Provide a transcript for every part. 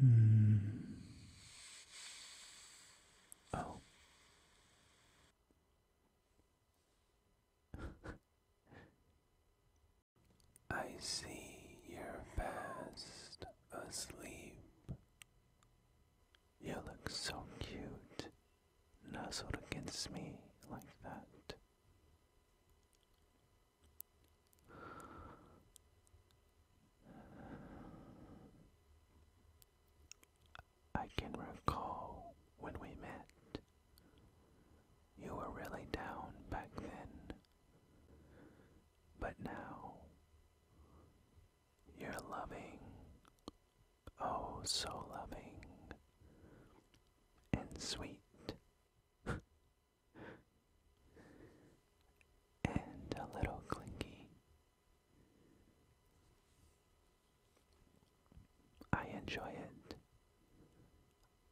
Hmm. Oh. I see you're fast asleep. You look so cute, nuzzled against me like that. I can recall when we met. You were really down back then. But now, you're loving, oh, so loving, and sweet. and a little clinky. I enjoy it.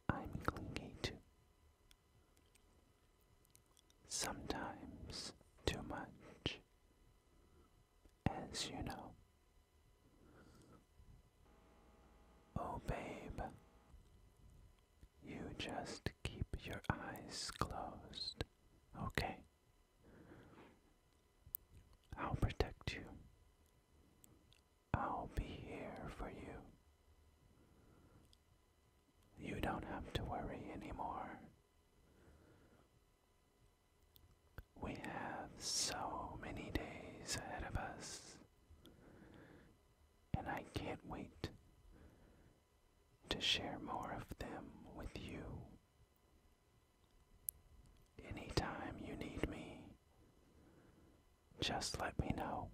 I'm clinky too. Sometimes too much, as you know. Oh, babe, you just keep your eyes closed, okay? I'll protect you. I'll be here for you. You don't have to worry anymore. We have so many days ahead of us and I can't wait to share more of them with you. Anytime you need me, just let me know.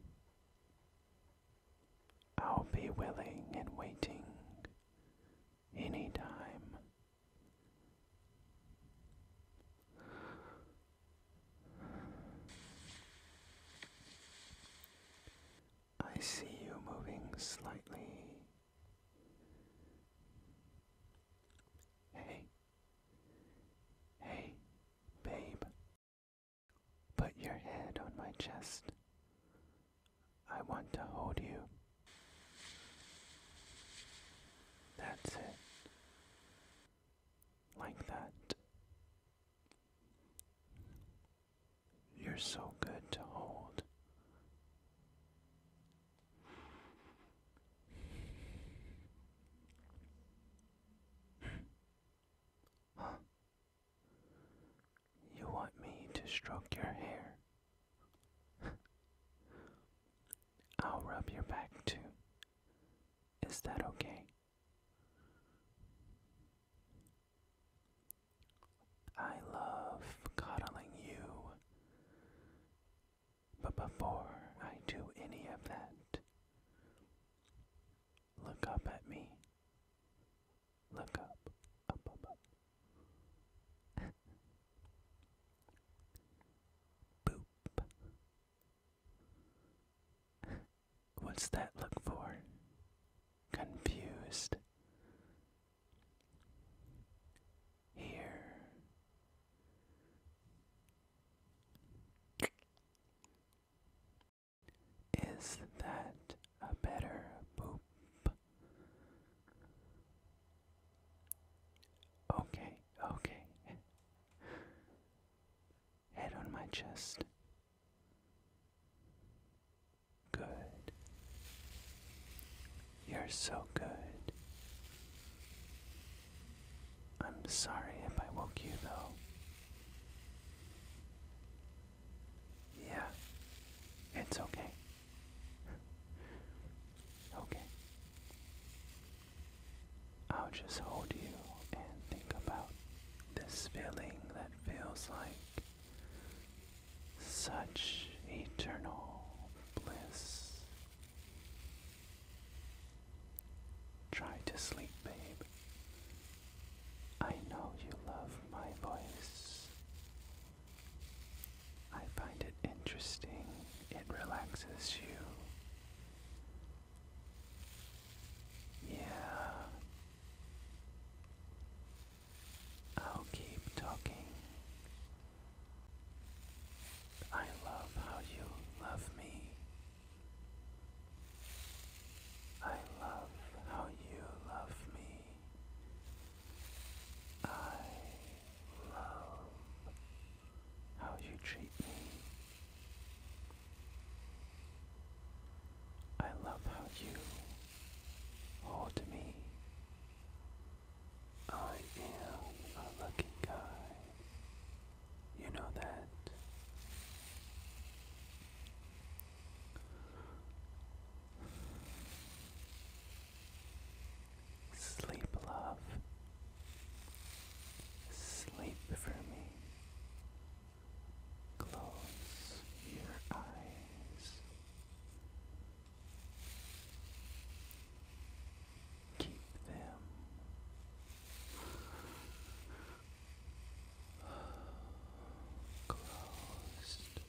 I'll be willing and waiting anytime. I see you moving slightly. Hey, hey, babe, put your head on my chest. I want to hold you. That's it like that. You're so good to hold. Huh? You want me to stroke your hair? I'll rub your back too. Is that okay? I love coddling you. But before I do any of that, look up at me. Look up, up, up, up. Boop. What's that look for? Confused. Here. Is that a better boop? Okay, okay. Head on my chest. Good. You're so good. I'm sorry if I woke you though. Yeah, it's okay. Okay. I'll just hold you and think about this feeling that feels like such eternal bliss. Try to sleep, babe. I know you love my voice. I find it interesting. It relaxes you. Yeah. I'll keep talking. I love how you love me. I love how you love me. I love how you treat me. I love how you hold me. I am a lucky guy. You know that. Sleep, love. Sleep for me. Close your eyes. Keep them closed.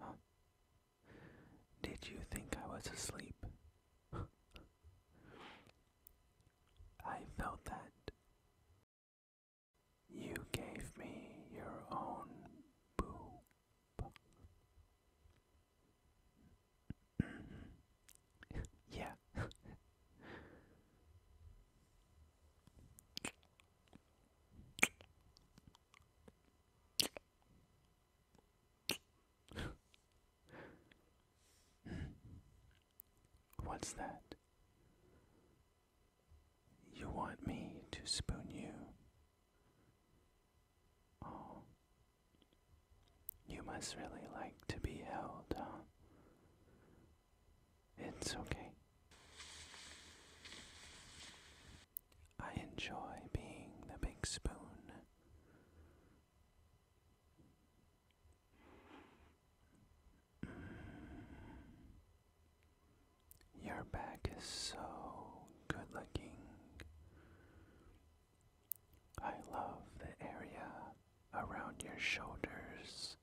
Huh. Did you think I was asleep? I felt that. You gave me your own boob yeah. What's that? You want me to spoon you? Oh. You must really like to be held, huh? It's okay. I enjoy being the big spoon. Your back is so good looking. I love the area around your shoulders,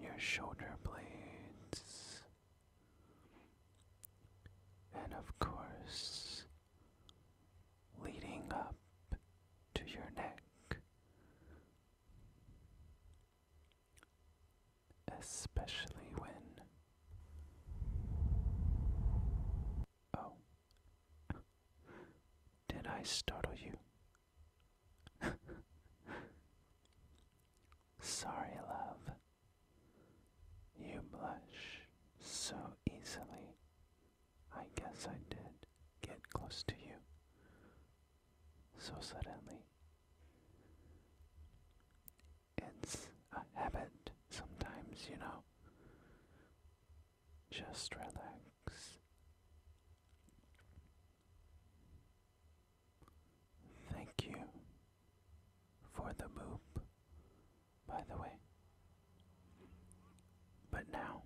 your shoulder blades, and of course, leading up to your neck. Especially when Oh. Did I startle you? Sorry, love. You blush so easily. I guess I did get close to you so suddenly it's a habit sometimes, you know. Just relax. Thank you for the boop, by the way. But now,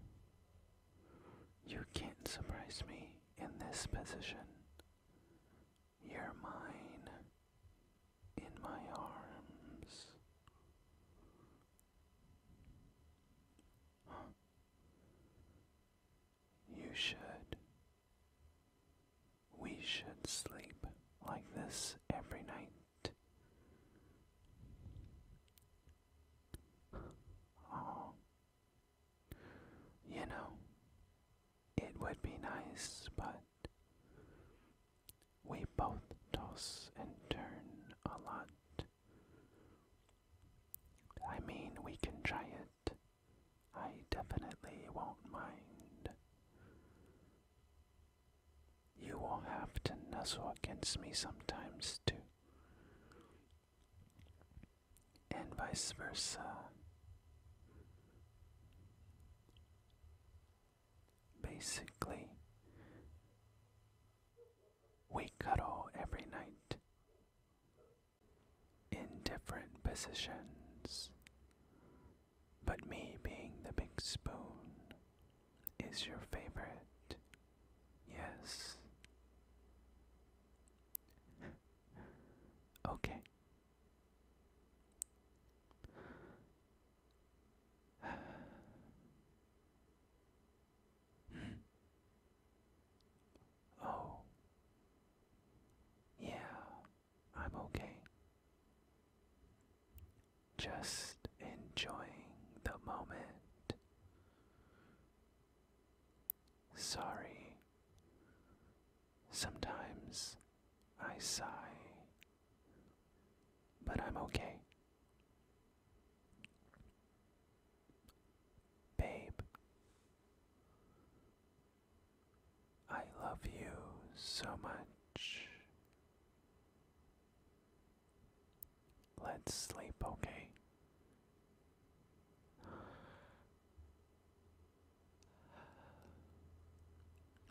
you can't surprise me in this position. You're mine in my arms. You should. We should sleep like this every night. Oh. You know, it would be nice, but we both toss and turn a lot. I mean, we can try it. I definitely won't mind. You will have to nuzzle against me sometimes, too. And vice versa. Basically, we cuddle every night in different positions, but me being the big spoon is your favorite. Yes. okay. oh, yeah, I'm okay. Just enjoying the moment. Sorry Sometimes I sigh, but I'm okay. Babe, I love you so much. Let's sleep, okay?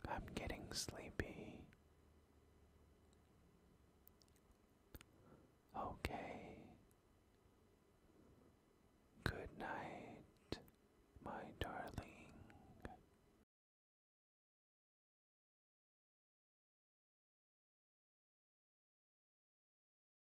I'm getting sleepy. Okay. Good night, my darling.